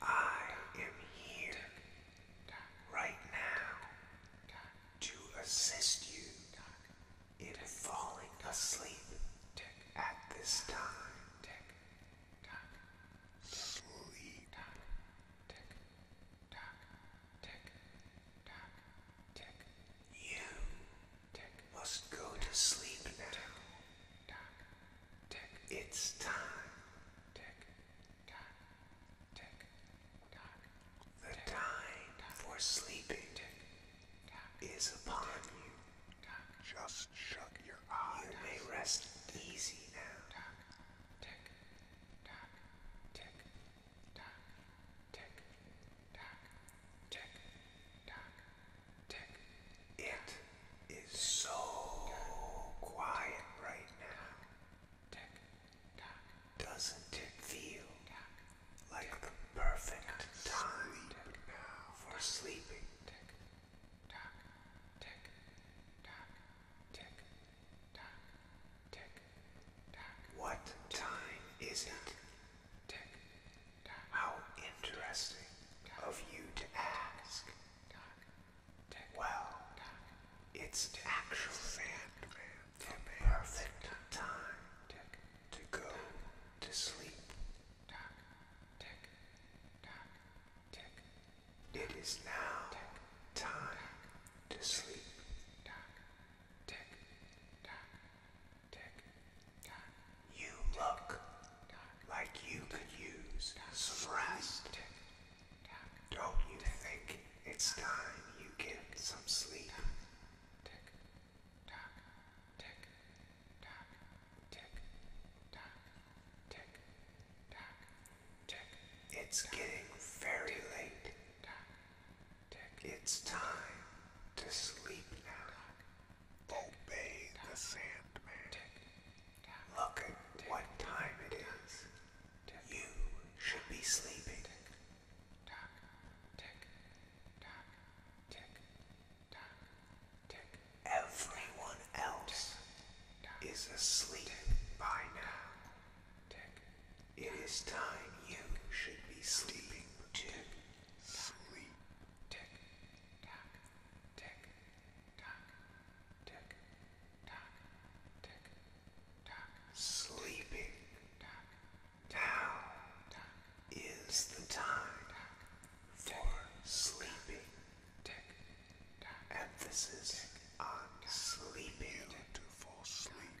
I am here right now to assist you in falling asleep at this time. Sleep. You must go to sleep now. It's time. The time for sleeping is upon you. Just shut your eyes. You may rest easy now. It is so quiet right now. Doesn't it feel like the perfect time for sleeping? What time is it? How interesting of you to ask. Well, it's actual Sandman the perfect time to go to sleep. It is now time to sleep. You look like you could use some rest. Don't you think it's time you get some sleep? It's getting very late. It's time to sleep now. Obey the Sandman. Look at what time it is. You should be sleeping. Everyone else is asleep by now. It is time you should be sleeping Sleep. Tick tock, tick tock, tick tock, tick tock. Sleeping tock. tock, is the time for sleeping. Tick tock. Emphasis tick, on sleeping. You to fall asleep.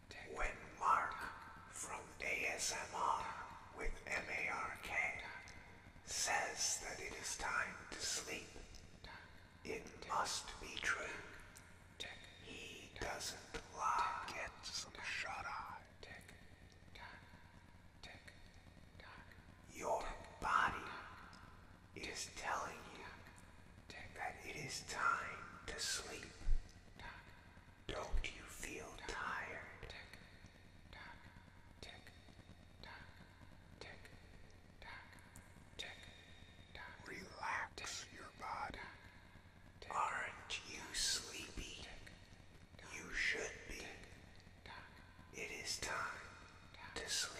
When Mark from ASMR with MARK says that it is time to sleep, it must be true. He doesn't lie. Get some shut eye. Your body is telling you that it is time to sleep. Don't you feel tired? Relax your body. Aren't you sleepy? You should be. It is time to sleep.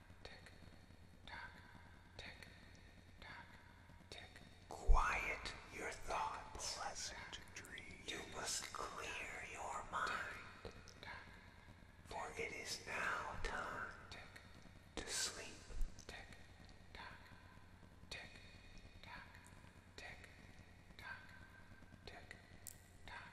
tick, tock, tick, tock, tick. Quiet your thoughts. Pleasant dream. You must clear your mind, for it is now time to sleep. Tick, tock, tick, tock, tick, tock, tick, tock.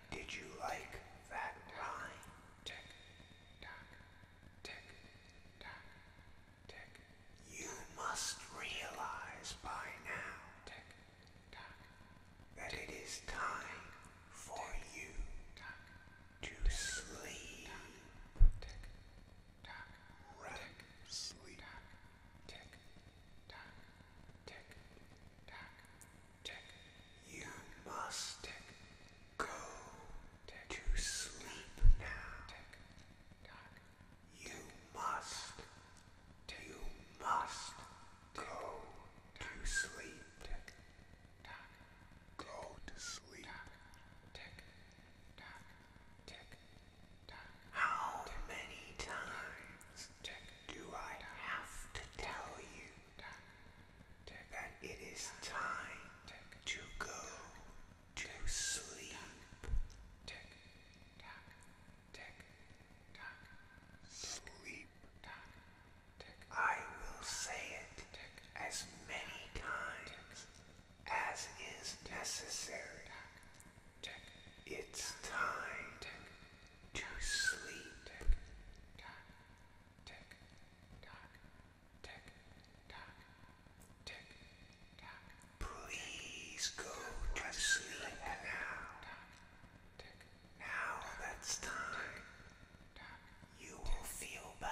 did you like that rhyme? Tick tock, tick tock, tick. You must realize by now that it is time for you to sleep. Tick tock, REM sleep. Tick tock, tick tock, you must go to sleep now. You must. You must go to sleep. Go to sleep. How many times do I have to tell you that it is time to go to sleep? Sleep. I will say it as many times as is necessary. It's time to sleep. Please go to sleep now. Now that's time. You will feel better.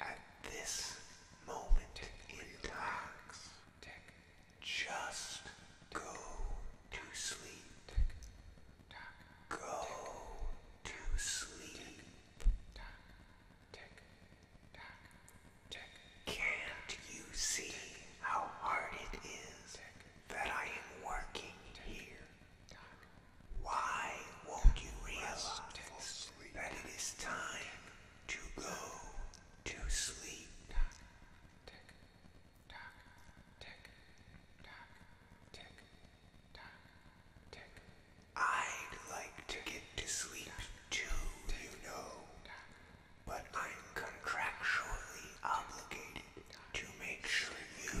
at this moment in time. Just go to sleep. Go to sleep. Can't you see how hard it is that I am working here? Why won't you realize that it is time to go to sleep? I'd like to get to sleep too, you know, but I'm contractually obligated to make sure you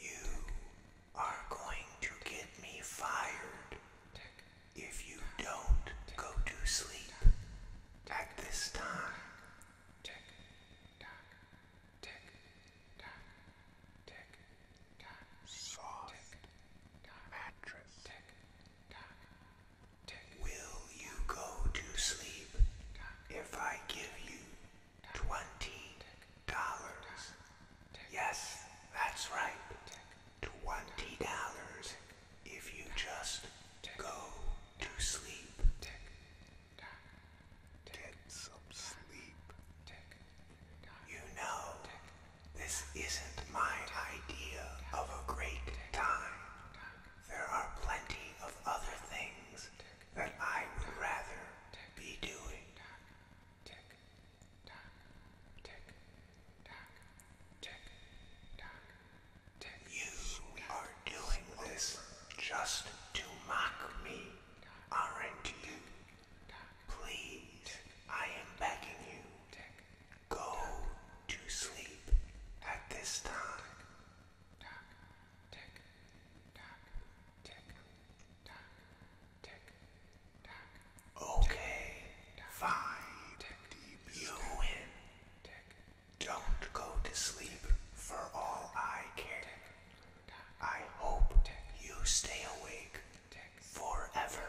You are going to get me fired if you don't go to sleep at this time. Soft mattress. Will you go to sleep? if I give you twenty dollars? Yes, that's right. Twenty dollars if you just go to sleep. Get some sleep. You know, this isn't my idea of a great time. There are plenty of other things that I would rather be doing. You are doing this just to mock me, aren't you? Please, I am begging you. Go to sleep at this time. Okay, fine. You win. Don't go to sleep for all I care. I hope you stay awake forever.